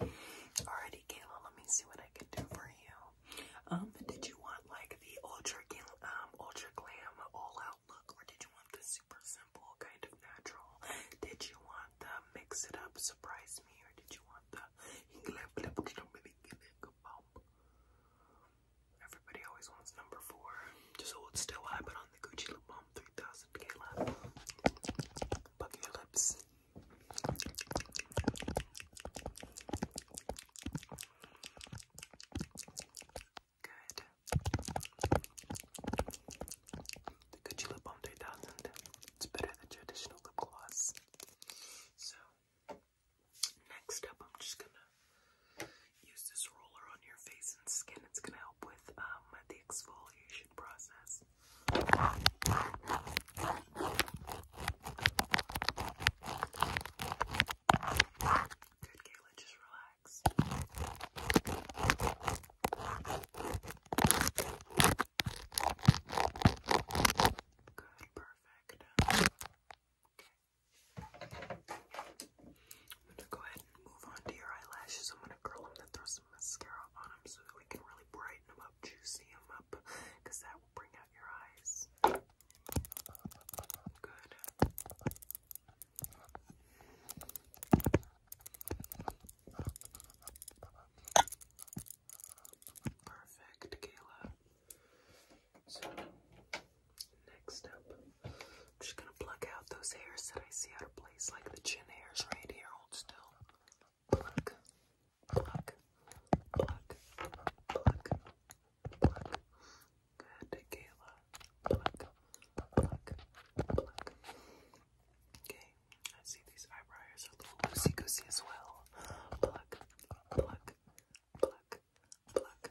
Alrighty, Kayla, let me see what I can do for you. Um, did you want like the ultra um ultra glam all out look, or did you want the super simple kind of natural? Did you want the mix it up, surprise me, or did you want the Everybody always wants number four. Just hold still. I put on the Gucci lip balm 3000 Kayla. Buck your lips. Good. The Gucci Lip Balm 3000. It's better than traditional lip gloss. So, next up, I'm just gonna use this roller on your face and skin. It's gonna help with um, the exfoliation process. Good, Kayla, just relax. Good, perfect. I'm gonna go ahead and move on to your eyelashes. I'm gonna curl them and throw some mascara on them so that we can really brighten them up, juicy them up, because that will bring out your eyes. Good. Perfect, Kayla. So, next up, I'm just going to pluck out those hairs that I see out of place, like the chin hairs right here. Hold still pluck, pluck, pluck, pluck, pluck. Good, Kayla. Pluck, pluck, pluck. Okay, I see these eyebrows are a little loosey-goosey as well. Pluck, pluck, pluck, pluck, pluck, pluck.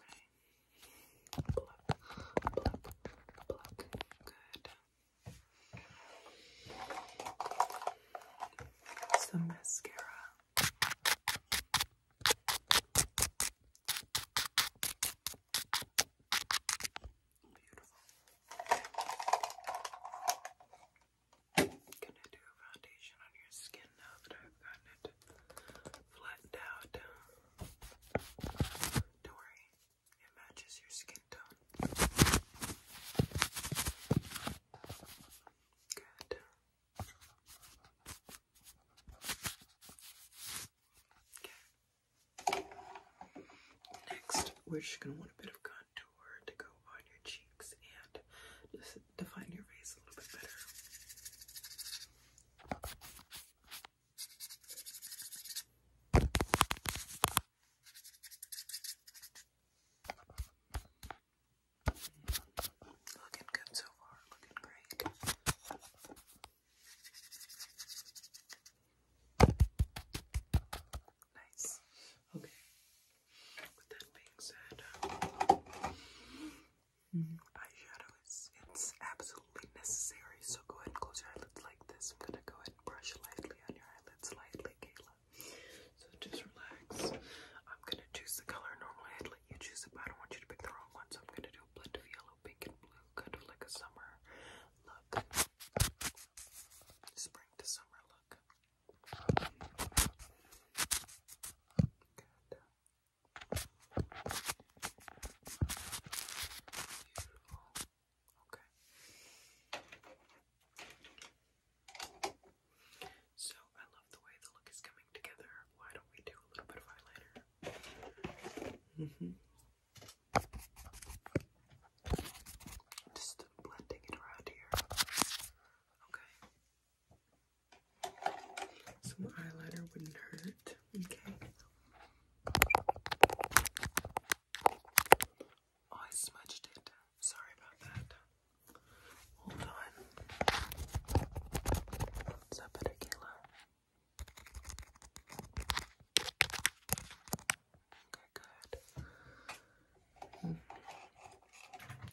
Okay. Pluck, pluck, pluck. Good some mascara. Gonna do foundation on your skin now that I've gotten it flattened out. Don't worry, it matches your skin tone. Good. Next, we're just going to want a bit of contour to go on your cheeks and just define your face a little bit better. Looking good so far, looking great. Nice. Okay. With that being said, mm-hmm. eyeshadow is it's absolutely necessary. So go ahead and close your eyelids like this. I'm gonna go ahead and brush lightly on your eyelids, lightly, Kayla. So just relax. I'm gonna choose the color. Normally i let you choose it, but I don't want you to pick the wrong one. So I'm gonna do a blend of yellow, pink, and blue, kind of like a summer look. Spring to summer look. Okay. So I love the way the look is coming together. Why don't we do a little bit of eyeliner? Mm hmm Just blending it around here. Okay. Some eyeliner wouldn't hurt. Okay. I smudged it. Sorry about that. Hold on. Is that better, Okay, good. I'm hmm.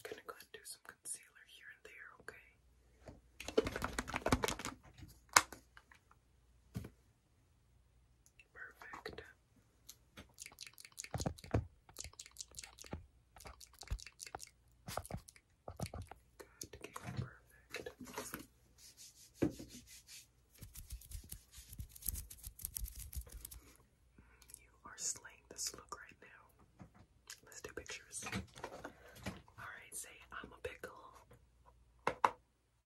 gonna go and do some concealer here and there, okay? Perfect. Good, perfect. You are slaying this look right now. Let's do pictures. Alright, say I'm a pickle.